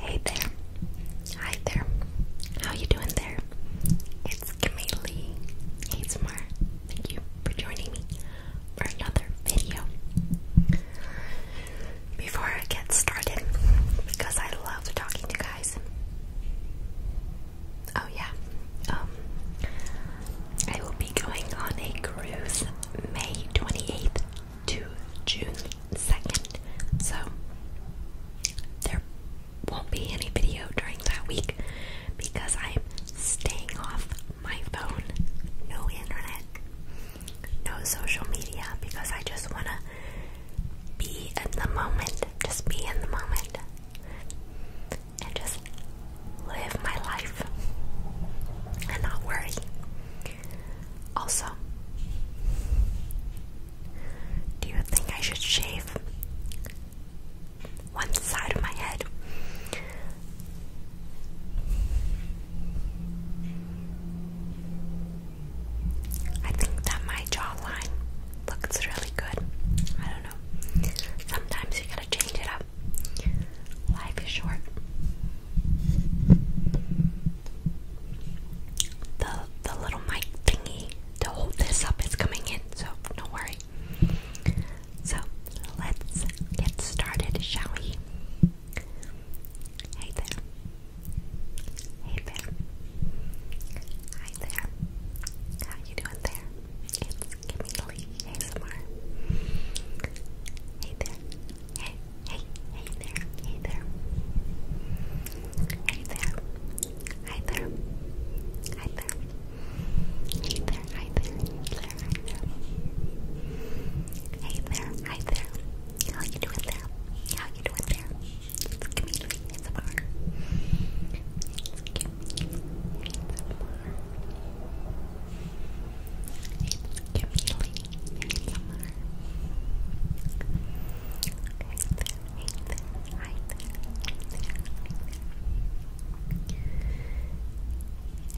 Hey there. Hi there. How you doing there? It's Camille ASMR. Thank you for joining me for another video. Before I get started, because I love talking to guys. Oh yeah. Um, I will be going on a cruise May 28th to June 2nd. So there won't be any video during that week because I'm staying off my phone. No internet, no social media because I just want to be in the moment. Just be in the moment and just live my life and not worry. Also, do you think I should shave one side of my head? I think that my jawline looks really good. I don't know. Sometimes you gotta change it up. Life is short. The the little mic thingy to hold this up is coming in, so don't worry. So let's get started, shall we? Hey there. Hey there. Hi there. How you doing there? It's Kimmy Lee Hey there. Hey, hey, hey there, hey there. Hey there. Hi there. Hi there. Hey there, hi there, there, there. Hey there, hi there. How you doing there? How you doing there? It's a community, it's a bar. It's a community, it's a bar. ASMR.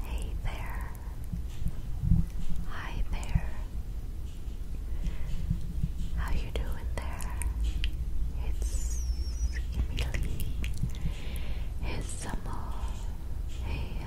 Hey there, hi there, How you doing there? It's Emily. It's Samuel. Hey,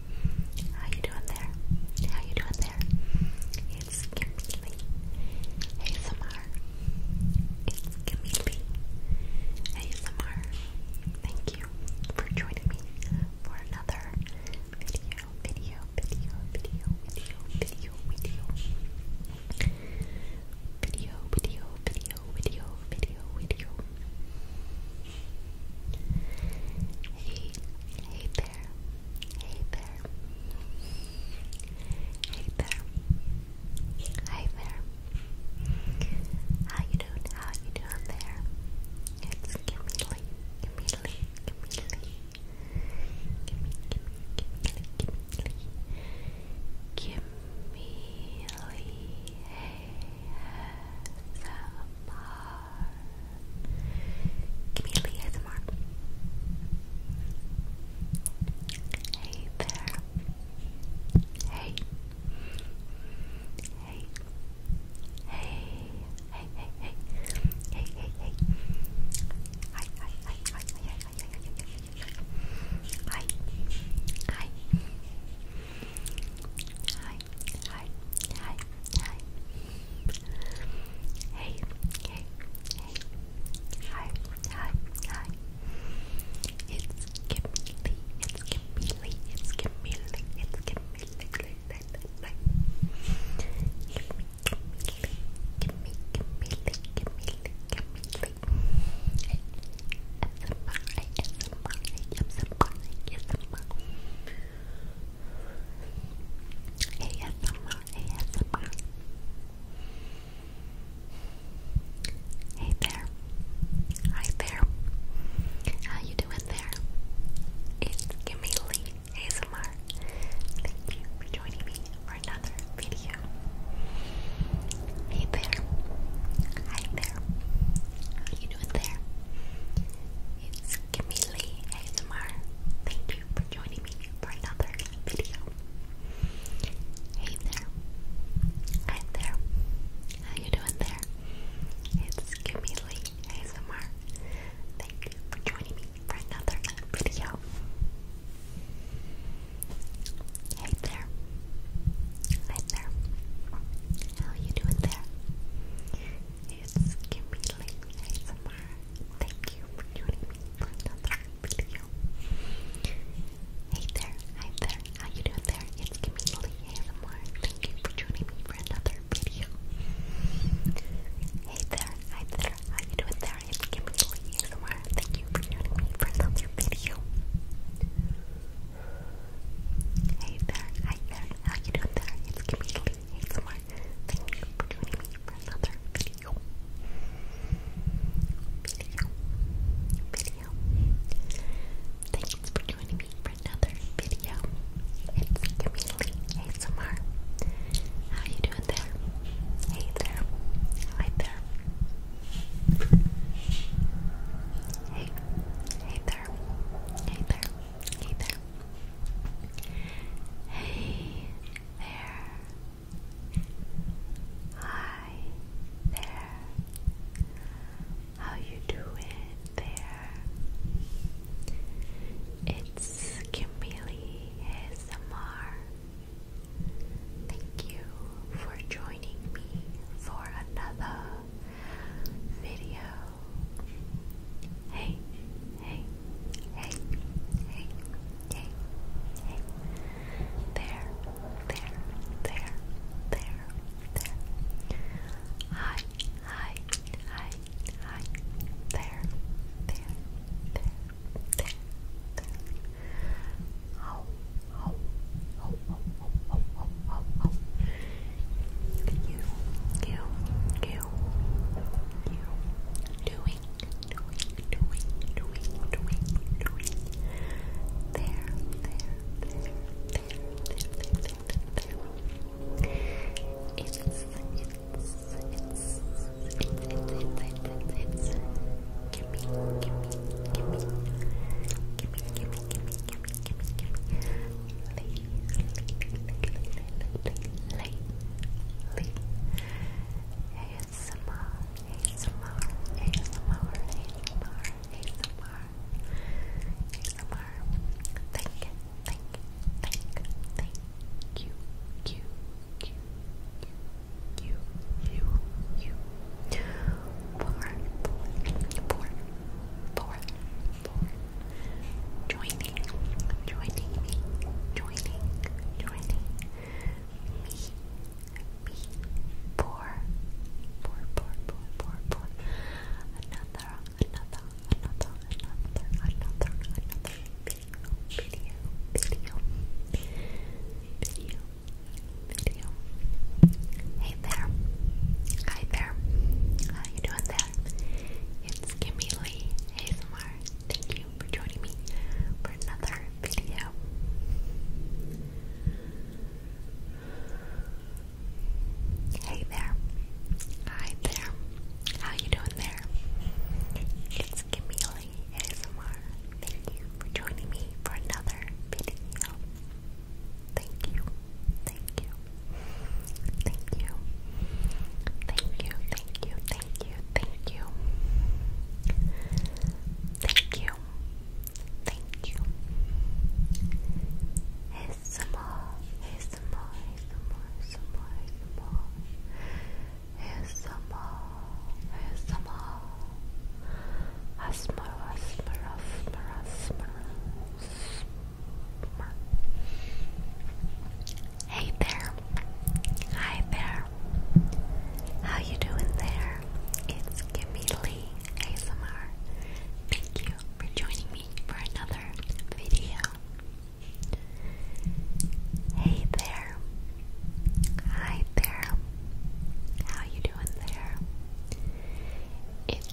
How you doing there? How you doing there? It's Kimberly ASMR. It's Kimberly ASMR. Thank you for joining me for another video, video, video, video, video, video, video, video, video, video, video, video, video. Hey, hey there, hey there, hey there, hi there. How you doing? How you doing there? It's Kimberly, Kimberly, Kimberly. Gimme, gimme, gimme, gimme, give Give me a little Hey there. Hey. Hey. Hey. Hey. Hey. Hey. Hey. Hey. Hey. Hi. Hi. Hi. Hi. Hi. Hi. Hi. Hi hi, hi, hi. Hey, hey, hey. Hi, hi, hi. It's Kimberly, it's Kimberly, it's Kimberly, it's Kimberly, like Kimmy, Kimberly, Kimberly, Kimberly, Kimberly. ASMR, ASMR, ASMR, ASMR. ASMR, ASMR. Hey there. Hi there. How you doing there? It's Kimmy Lee ASMR. Thank you for joining me for another video. Hey there. Hi there. How you doing there? It's Camille ASMR. Thank you for joining me for another video. Hey there. Hi there. How you doing there? It's Camille ASMR. Thank you for joining me for another video. Hey there. Hi there. How you doing there? It's Kimmy Lynn ASMR. Thank you for joining me for another video. Hey there, hi there, how you doing there? It's Kimmy Lynn ASMR. Thank you for joining me for another video. Hey there, hi there, how you doing there? It's Kimmy Lynn ASMR. Thank you for joining me for another video. Hey there, hi there, how you doing there? It's Kimberly ASMR. Thank you for joining me for another video. Video. Video. Thanks for joining me for another video. It's Kimberly ASMR. How you doing there? Hey there, hi there. Hey, hey there, hey there. Hey there. Hi there. How you doing there? It's Kimberly ASMR. Thank you for joining me for another video Hey, hey, hey, hey, hey, hey. There, there, there, there, there. Hi, hi, hi, hi. There, there, there, there, there. Oh, oh, oh, oh, oh, oh, oh, oh, you, you, you, you, doing, doing, doing, doing, doing, doing, there, there, there, there, there, there, there, there. It's, it's, it's, it's, it's, it's, it's, give me, give me, give me, give me, give me, give me, give me, give me, give me, you, you, you, for, for, for, people joining, joining joining, joining me, for, for, for, for, for, another, another, another, another, another, video, video, video, video, video. Hey there. Hi there. How you doing there? You it's Kimmy Lee ASMR. Thank you for joining me for another video. Hey there. Hi there. How you doing there? It's Kimmy Lee ASMR. Thank you for joining me for another video. Thank you. Thank you. Thank you. Thank you, thank you, thank you, thank you. Thank you. Thank you. Here's some more. Here's some more. Here's some more. Here's some more. Here's some more. Here's some more. Here's some more. Asmara, asmara, asmara, asmara, asmara. Hey there. Hi there. How you doing there? It's Kimmy ASMR. Thank you for joining me for another video. Hey there. Hi there. How you doing there? It's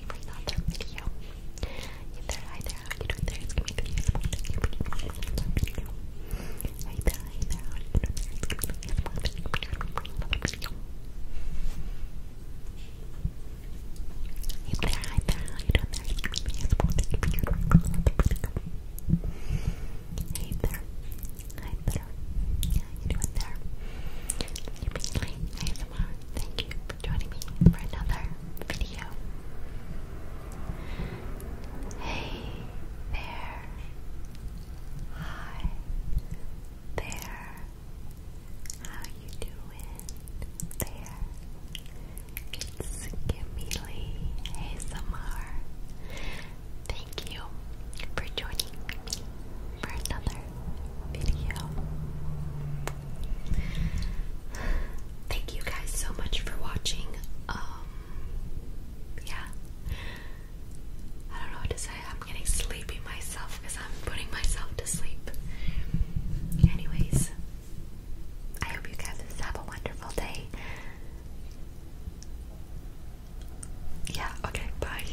Hey there, hi there, you doing there? It's gonna be the video. Thank you for joining Hey there, hi there, you doing there? It's gonna be the video. Thank you for Hey there, hi there, you doing there? It's gonna be the video. Thank you Hey there. Thank you for joining me for another video. Hey there. Hi there. How you doing there? It's Kimberly ASMR. Thank you for joining me for another video. Thank you guys so much for watching. Um, yeah. I don't know what to say. I'm getting sleepy myself because I'm putting myself to sleep. Anyways, I hope you guys have a wonderful day. Yeah, okay, bye.